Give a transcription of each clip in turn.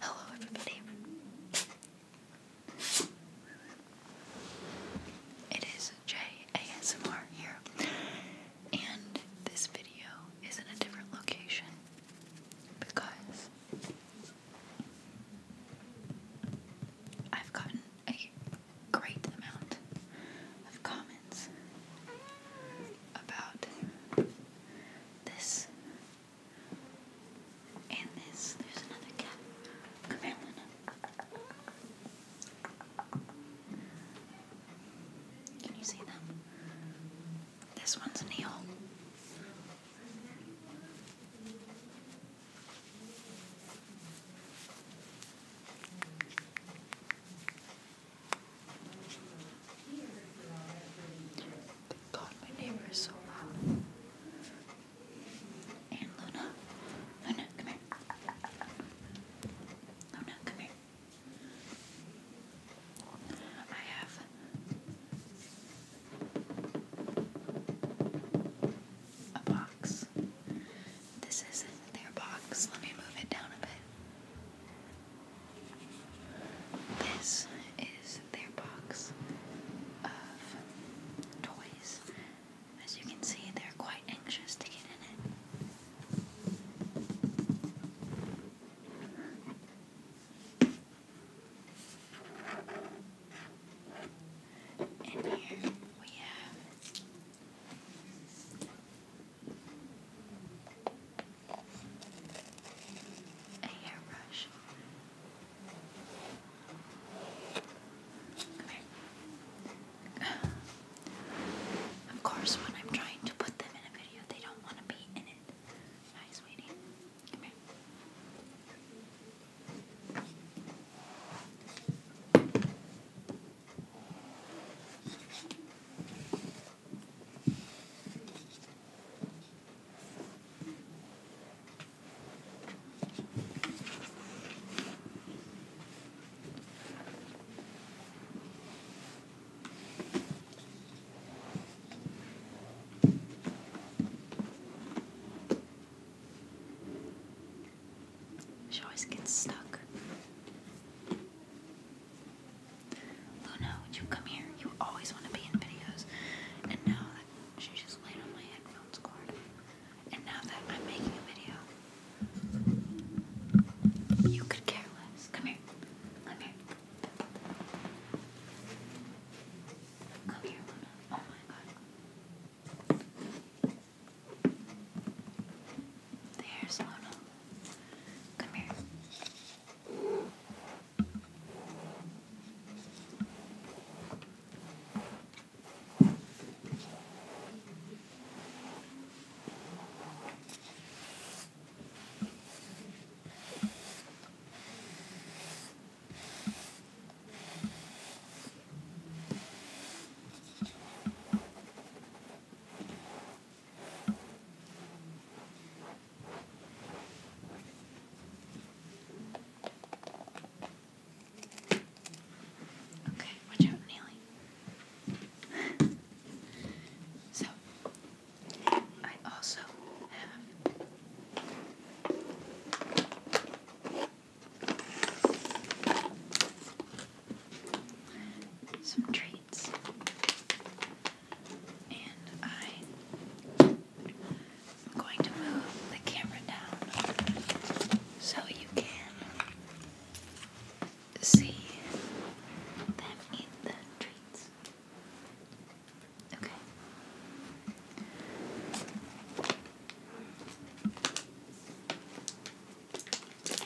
Hello, everybody. It is JASMR here, and this video is in a different location because I've gotten a great amount of comments about this and this. There's another cat. Come here, Luna. Can you see them? This one's Neil. Thank God my neighbor is so loud. And Luna. Luna, come here. Luna, come here. I have a box. This is their box. Let me move it down a bit. This is their box of toys. As you can see, they're quite anxious to get in it. And here we have a hairbrush. Of course, when I'm trying to put them in a video, they don't want to be in it. Hi, sweetie. She always gets stuck. Luna, would you come here? You always want to be in videos. And now that she just laid on my headphones cord. And now that I'm making a video, you could care less. Come here. Come here. Come here, Luna. Oh my god. There's Luna. Come here. Okay, watch out, Neely. so, I also have some treats. And I am going to move the camera down so you can see them eat the treats. Okay.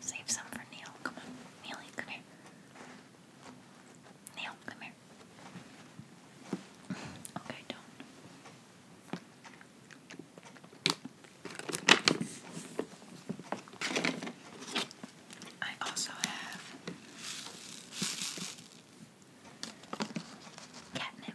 Save some for Neil. Come on. Neely, come here. Neil, come here. Okay, don't. I also have catnip.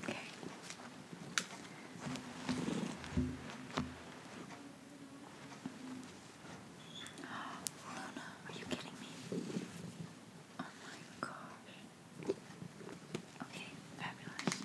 Okay. Luna, are you kidding me? Oh my gosh. Oh okay, fabulous.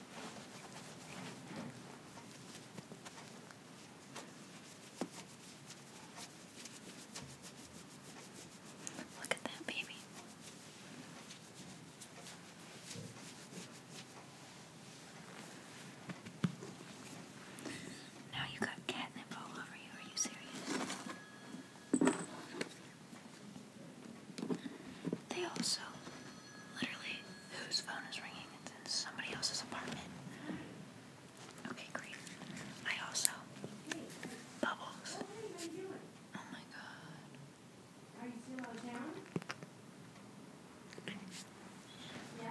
Look at that baby. Now you got catnip all over you. Are you serious? They also literally whose phone is ringing? It's in somebody else's apartment. Okay, great. I also bubbles. Oh my god. Are you still out of town? Yeah.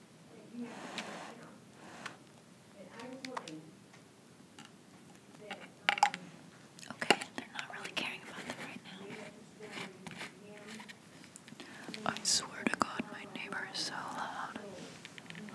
i okay, they're not really caring about them right now. I swear to God, my neighbor is so loud. I don't know.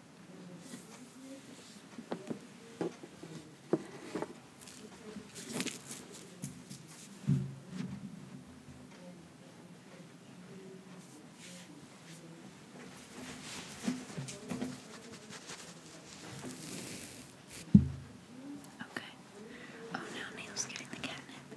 Okay. Oh, now Neil's getting the catnip.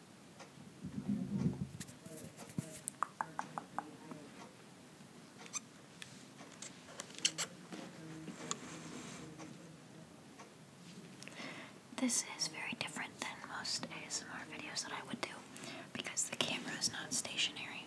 This is very different than most ASMR videos that I would do because the camera is not stationary.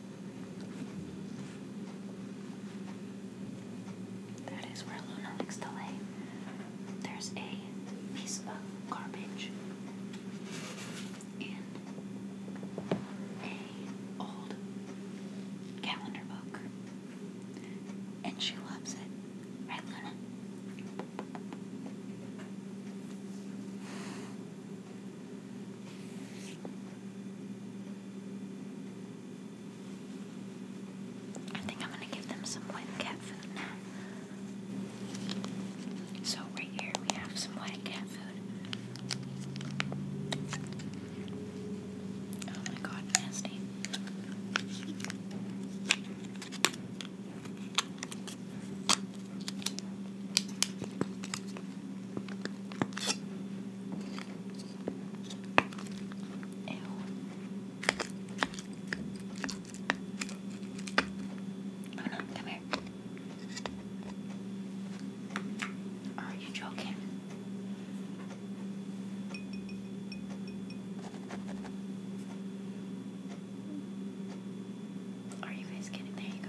That is where Luna likes to lay. There's a piece of garbage and a old calendar book. And she loves it. Right, Luna? I think I'm gonna give them some wet cat food So, right here we have some wet cat food. Oh my god, nasty. Ew. Oh come here. Are you joking? Are you guys kidding? There you go.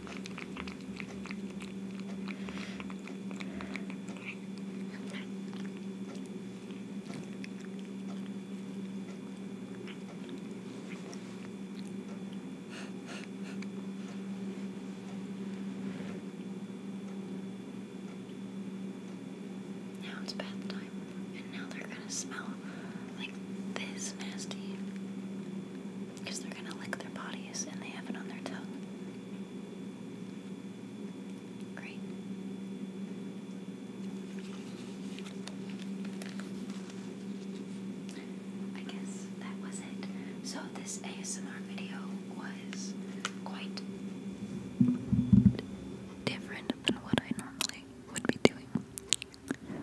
Now it's bath time, and now they're gonna smell like this nasty. Because they're gonna lick their bodies and they have it on their tongue. Great. I guess that was it. So, this ASMR video was quite different than what I normally would be doing.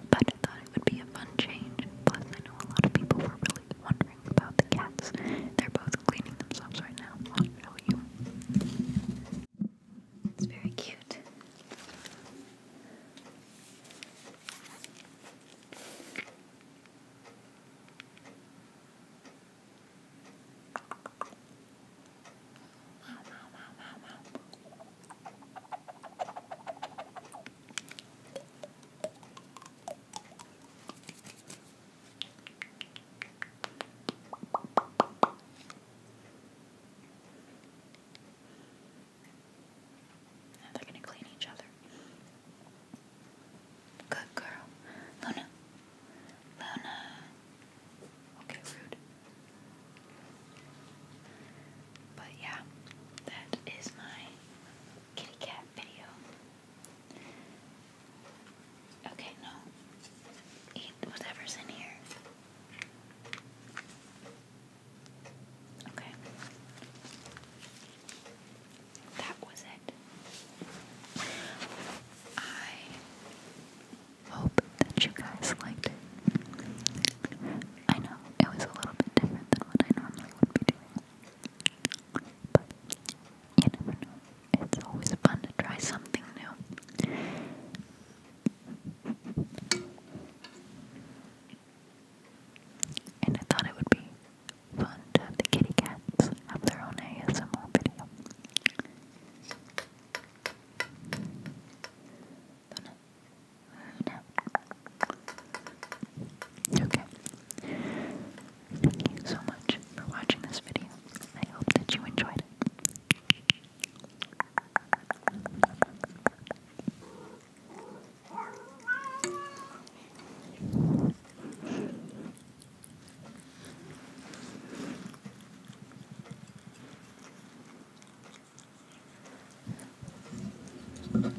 But I thought it would be a fun change. Plus, I know a lot of people were wondering about the cats. They're both cleaning themselves right now. It's very cute. Now they're gonna clean each other. Good girl. Luna. Luna. Okay, rude. But yeah, that is my kitty cat video. Okay, no. Eat whatever's in here. Okay. That was it. I hope that you guys liked I know it was a little bit different than what I normally would be doing. But you never know. It's always fun to try something new. And I thought it would be fun to the kitty cats have their own ASMR video. Okay. Thank you so much for watching this video. I hope that you enjoyed it.